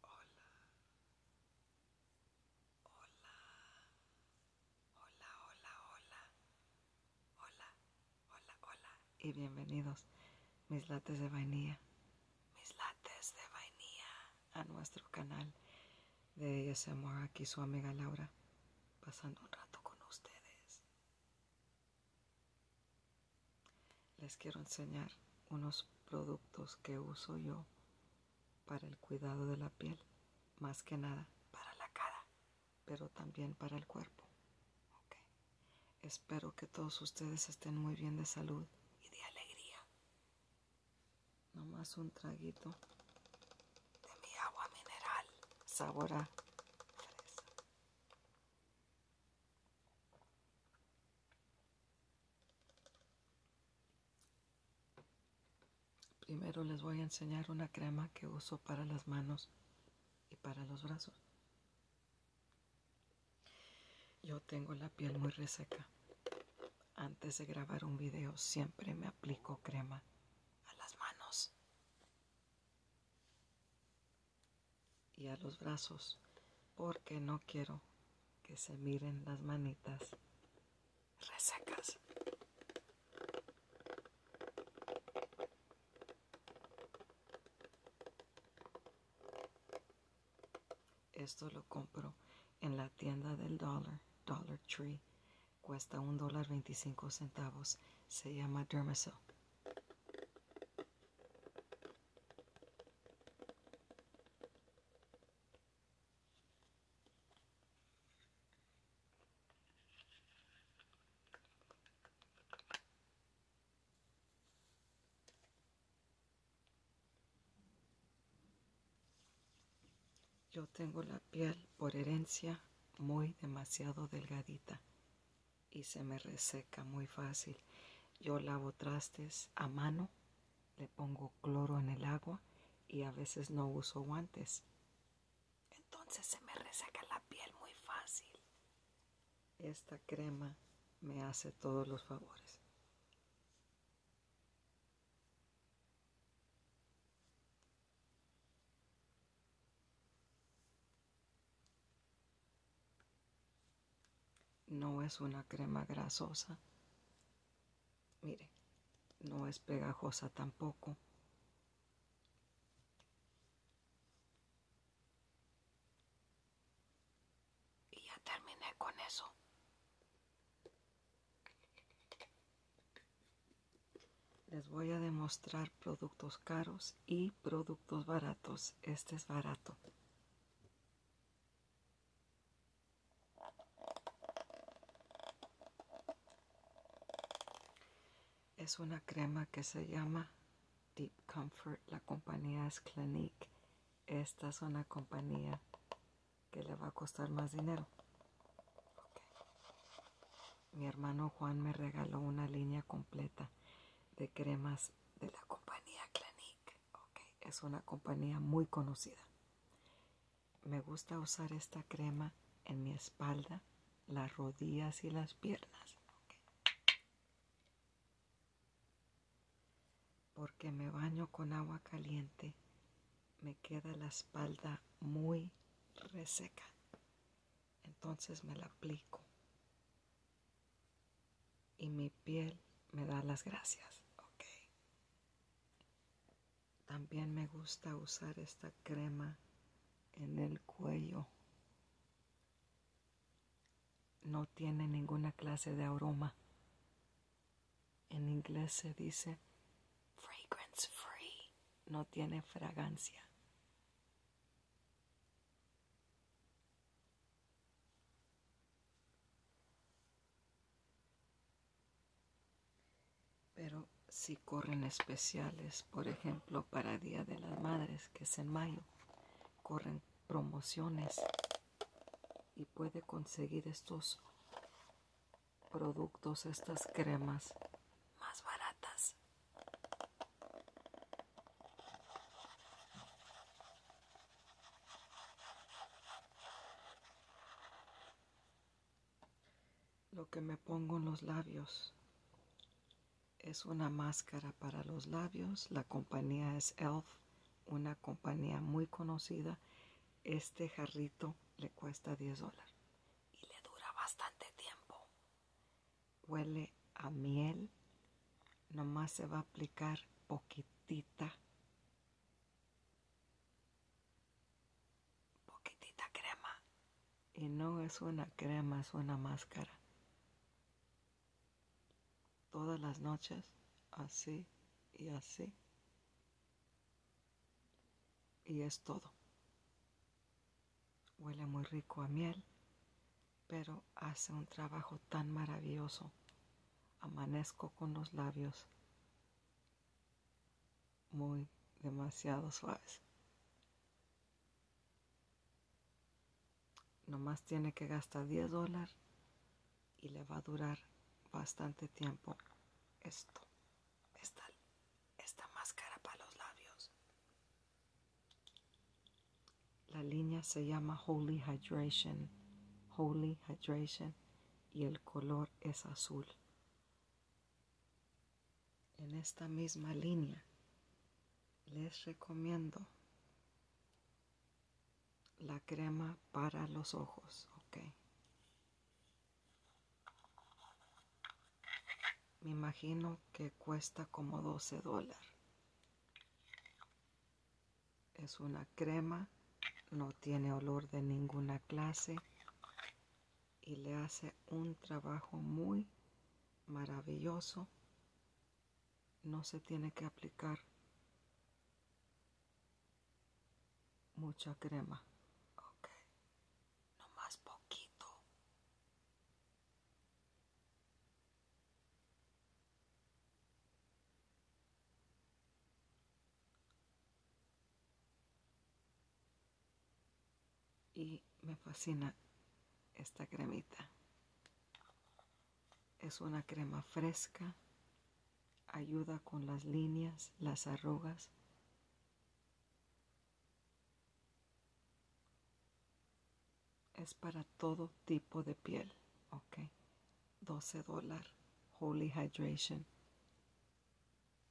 Hola. Hola. Hola, hola, hola. Hola, hola, hola. Y bienvenidos, mis lates de vainilla. Mis lates de vainilla. A nuestro canal de ASMR. Aquí su amiga Laura. Pasando un rato con ustedes. Les quiero enseñar unos productos que uso yo para el cuidado de la piel, más que nada para la cara, pero también para el cuerpo. Espero que todos ustedes estén muy bien de salud y de alegría. No más un traguito de mi agua mineral, sabor Primero les voy a enseñar una crema que uso para las manos y para los brazos. Yo tengo la piel muy reseca. Antes de grabar un video siempre me aplico crema a las manos y a los brazos porque no quiero que se miren las manitas resecas. Esto lo compro en la tienda del Dollar, Dollar Tree. Cuesta un dólar veinticinco centavos. Se llama Dermasil. Yo tengo la piel por herencia muy demasiado delgadita y se me reseca muy fácil. Yo lavo trastes a mano, le pongo cloro en el agua y a veces no uso guantes. Entonces se me reseca la piel muy fácil. Esta crema me hace todos los favores. No es una crema grasosa. mire no es pegajosa tampoco. Y ya terminé con eso. Les voy a demostrar productos caros y productos baratos. Este es barato. Es una crema que se llama Deep Comfort. La compañía es Clinique. Esta es una compañía que le va a costar más dinero. Mi hermano Juan me regaló una línea completa de cremas de la compañía Clinique. es una compañía muy conocida. Me gusta usar esta crema en mi espalda, las rodillas y las piernas. Porque me baño con agua caliente, me queda la espalda muy reseca. Entonces me la aplico y mi piel me da las gracias. También me gusta usar esta crema en el cuello. No tiene ninguna clase de aroma. En inglés se dice fragrance free. No tiene fragancia. Pero si corren especiales, por ejemplo, para Día de las Madres, que es en mayo, corren promociones y puede conseguir estos productos, estas cremas más baratas. Lo que me pongo en los labios es una máscara para los labios. La compañía es Elf, una compañía muy conocida. Este jarrito le cuesta 10 dólares y le dura bastante tiempo huele a miel. Nomás se va a aplicar poquitita. Poquitita crema. Y no es una crema, es una máscara. Todas las noches, así y así. Y es todo. Huele muy rico a miel pero hace un trabajo tan maravilloso. Amanezco con los labios muy demasiado suaves. Nomás tiene que gastar 10 dólares y le va a durar bastante tiempo esto. Esta, esta máscara para los labios. La línea se llama Holy Hydration, Holy Hydration, y el color es azul. En esta misma línea les recomiendo la crema para los ojos, ok. Me imagino que cuesta como 12 dólares. Es una crema, no tiene olor de ninguna clase y le hace un trabajo muy maravilloso. No se tiene que aplicar mucha crema. Ok, más poquito. Y me fascina esta cremita. Es una crema fresca, ayuda con las líneas, las arrugas es para todo tipo de piel, ok. 12 dólares, Holy Hydration.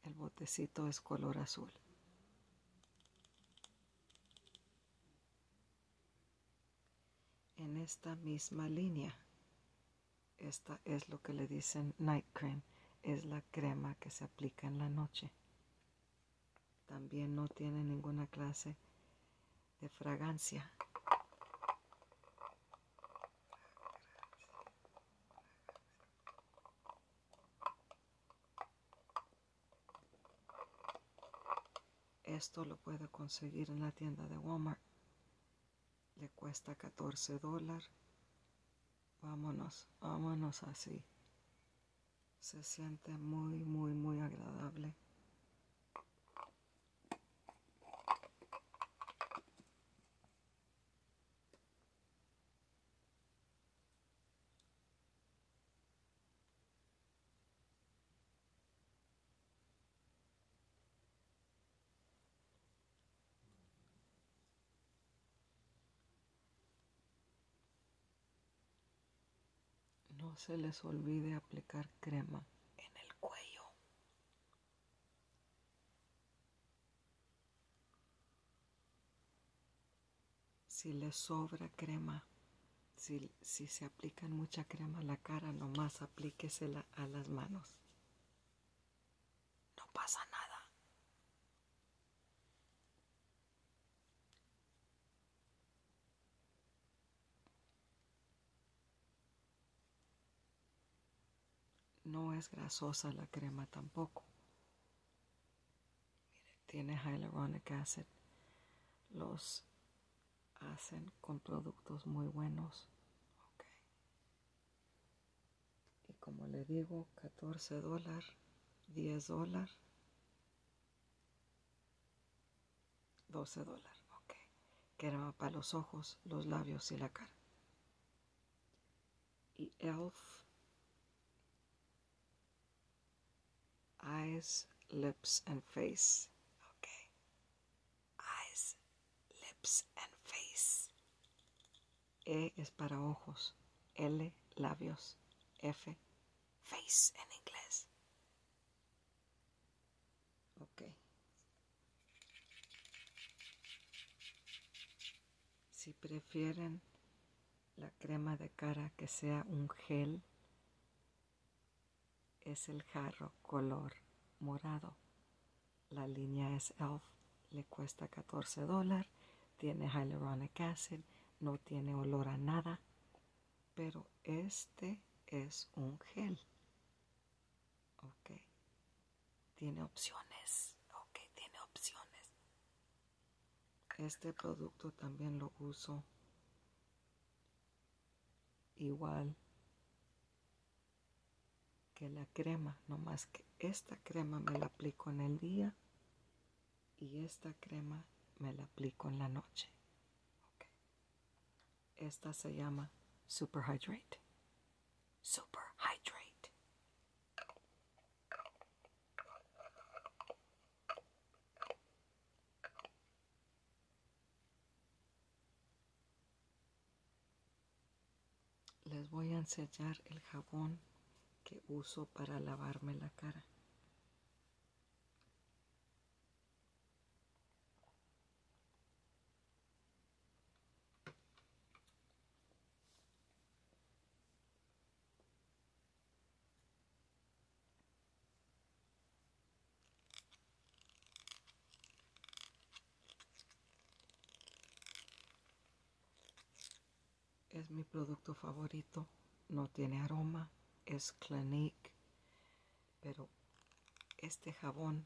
El botecito es color azul. En esta misma línea, esta es lo que le dicen night cream, es la crema que se aplica en la noche. También no tiene ninguna clase de fragancia. Esto lo puede conseguir en la tienda de Walmart. Le cuesta 14 dólares. Vámonos, vámonos así se siente muy, muy, muy agradable. No se les olvide aplicar crema en el cuello. Si les sobra crema, si, se aplican mucha crema a la cara, nomás aplíquesela a las manos. No pasa nada. No es grasosa la crema tampoco. tiene hyaluronic acid. Los hacen con productos muy buenos. Y como le digo, 14 dólares, 10 dólares. 12 dólares, ok. Que era para los ojos, los labios y la cara. Y Elf. Eyes, lips and face. Ok. Eyes, lips and face. E es para ojos. L, labios. F, face en inglés. Ok. Si prefieren la crema de cara que sea un gel, es el jarro color morado. La línea es ELF, le cuesta 14 dólares, tiene hyaluronic acid, no tiene olor a nada, pero este es un gel. Ok. Tiene opciones. Ok, tiene opciones. Este producto también lo uso. Igual que la crema. No más que esta crema me la aplico en el día. Y esta crema me la aplico en la noche. Esta se llama Super Hydrate. Super Hydrate. Les voy a enseñar el jabón que uso para lavarme la cara es mi producto favorito. No tiene aroma. Es Clinique pero este jabón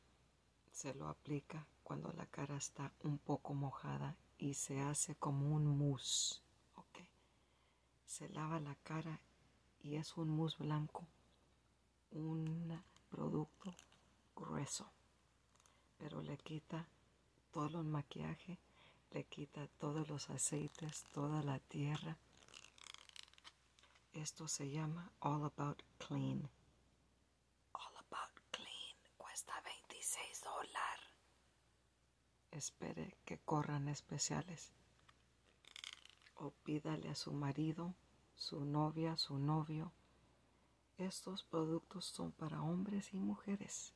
se lo aplica cuando la cara está un poco mojada y se hace como un mousse, ¿ok? Se lava la cara y es un mousse blanco, un producto grueso, pero le quita todo el maquillaje, le quita todos los aceites, toda la tierra esto se llama All About Clean. All About Clean cuesta 26 dólares. Espere que corran especiales. O pídale a su marido, su novia, su novio. Estos productos son para hombres y mujeres.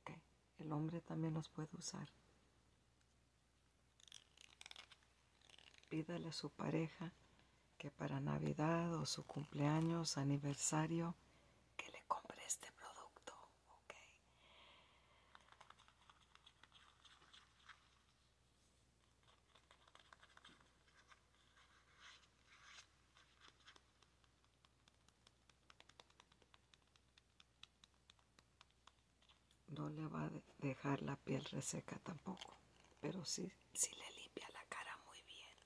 Okay. El hombre también los puede usar. Pídale a su pareja que para Navidad o su cumpleaños, aniversario, que le compre este producto, ¿ok? no le va a dejar la piel reseca tampoco pero sí, le limpia la cara muy bien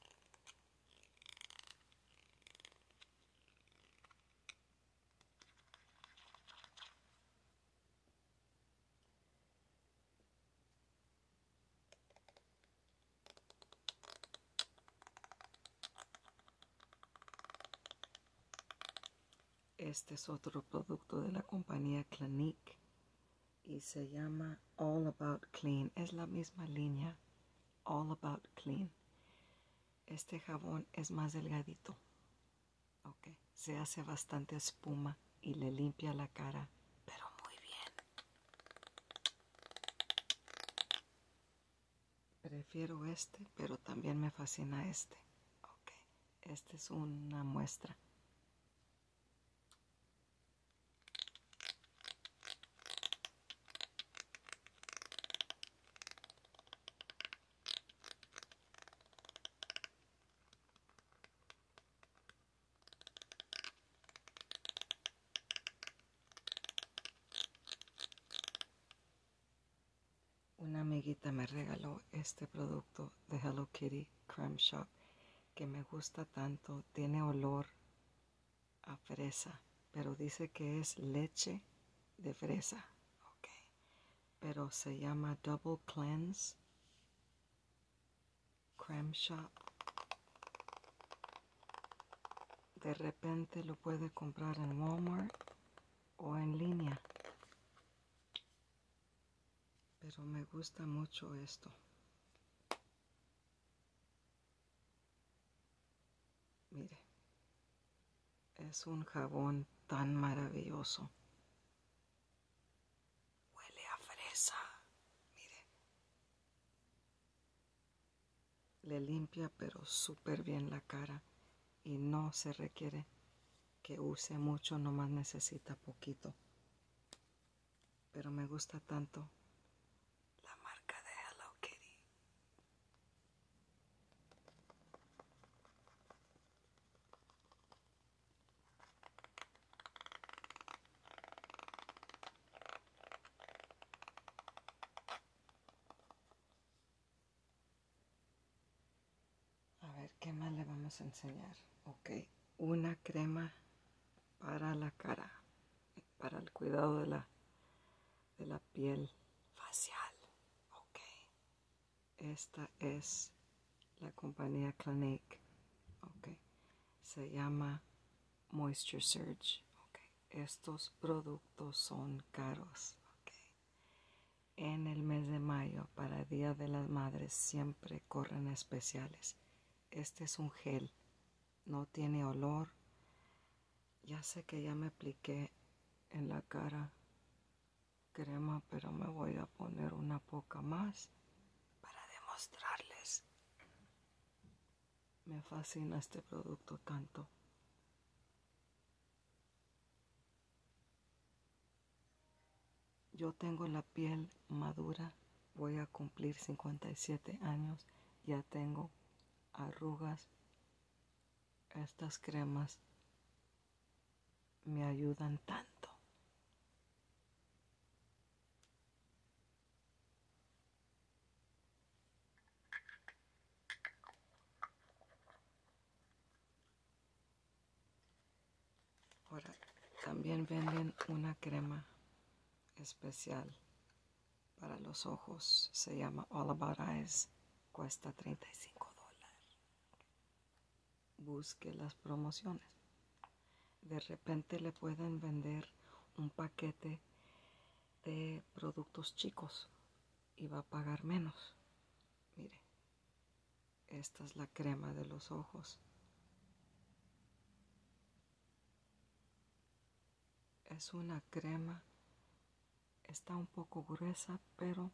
este es otro producto de la compañía Clinique y se llama All About Clean. Es la misma línea, All About Clean. Este jabón es más delgadito. Se hace bastante espuma y le limpia la cara, pero muy bien. Prefiero este, pero también me fascina este. Esta es una muestra. Una amiguita me regaló este producto de Hello Kitty Creme Shop que me gusta tanto. Tiene olor a fresa, pero dice que es leche de fresa. Pero se llama Double Cleanse Creme Shop. De repente lo puede comprar en Walmart o en línea. Pero me gusta mucho esto. Mire, es un jabón tan maravilloso. Huele a fresa. Mire. Le limpia pero súper bien la cara y no se requiere que use mucho, no más necesita poquito. Pero me gusta tanto la marca de Hello Kitty. A ver, ¿qué más le vamos a enseñar? Ok, una crema para la cara, para el cuidado de la, piel facial. Ok, esta es la compañía Clinique. Ok, se llama Moisture Surge. Okay. Estos productos son caros. Okay en el mes de mayo para Día de las Madres siempre corren especiales. Este es un gel, no tiene olor. Ya sé que ya me apliqué en la cara crema, pero me voy a poner una poca más para demostrarles. Me fascina este producto tanto. Yo tengo la piel madura, voy a cumplir 57 años, ya tengo arrugas. Estas cremas me ayudan tanto. Ahora también venden una crema especial para los ojos. Se llama All About Eyes. Cuesta 35 dólares. Busque las promociones. De repente le pueden vender un paquete de productos chicos y va a pagar menos. Mire, esta es la crema de los ojos. Es una crema. Está un poco gruesa, pero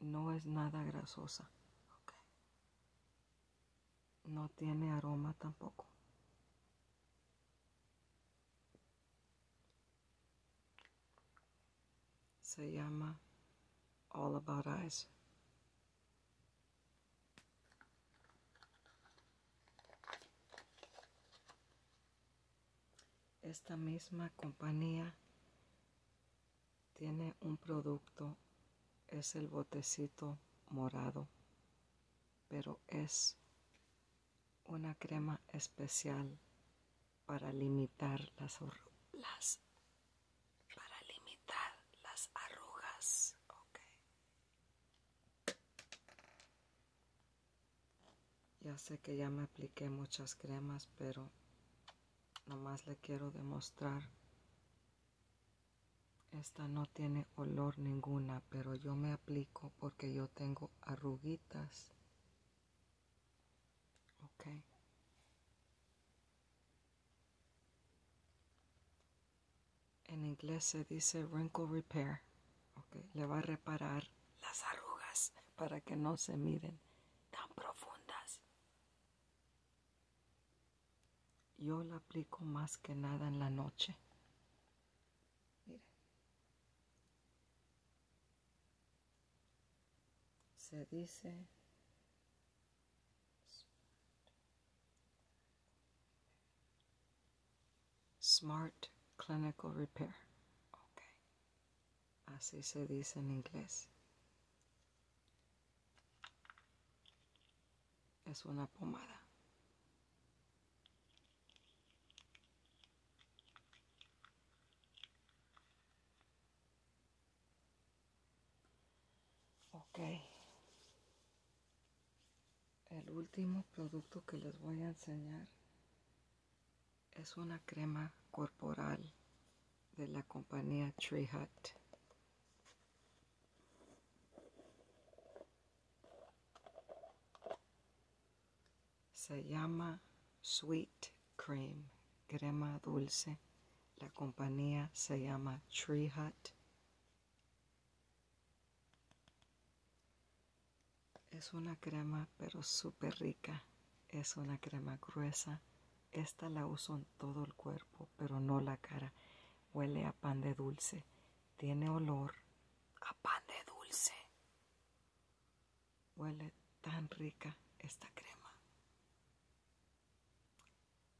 no es nada grasosa. No tiene aroma tampoco. Se llama All About Eyes. Esta misma compañía tiene un producto, es el botecito morado, pero es una crema especial para limitar las, para limitar las arrugas, okay. Ya sé que ya me apliqué muchas cremas, pero nomás le quiero demostrar. Esta no tiene olor ninguna, pero yo me aplico porque yo tengo arruguitas Ok. En inglés se dice wrinkle repair. Okay. Le va a reparar las arrugas para que no se miren tan profundas. Yo la aplico más que nada en la noche se dice Smart Clinical Repair. Okay. Así se dice en inglés. Es una pomada. Okay. El último producto que les voy a enseñar es una crema corporal de la compañía Tree Hut. Se llama Sweet Cream, crema dulce. La compañía se llama Tree Hut. Es una crema pero súper rica. Es una crema gruesa. Esta la uso en todo el cuerpo, pero no la cara. Huele a pan de dulce. Tiene olor a pan de dulce. Huele tan rica esta crema.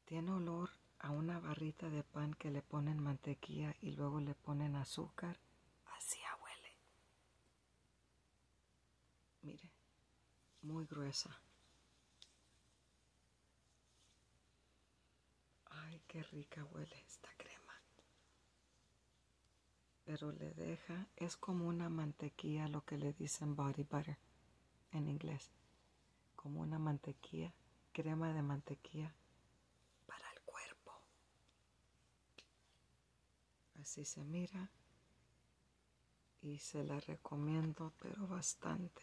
Tiene olor a una barrita de pan que le ponen mantequilla y luego le ponen azúcar. Así huele. Mire, muy gruesa. Ay, qué rica huele esta crema pero le deja, es como una mantequilla, lo que le dicen body butter en inglés, como una mantequilla, crema de mantequilla para el cuerpo. Así se mira y se la recomiendo, pero bastante.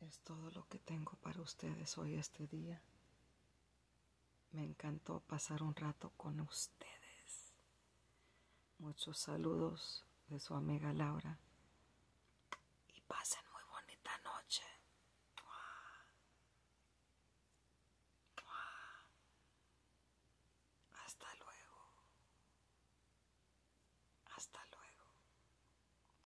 Es todo lo que tengo para ustedes hoy este día. Me encantó pasar un rato con ustedes. Muchos saludos de su amiga Laura. Y pasen muy bonita noche. Hasta luego. Hasta luego.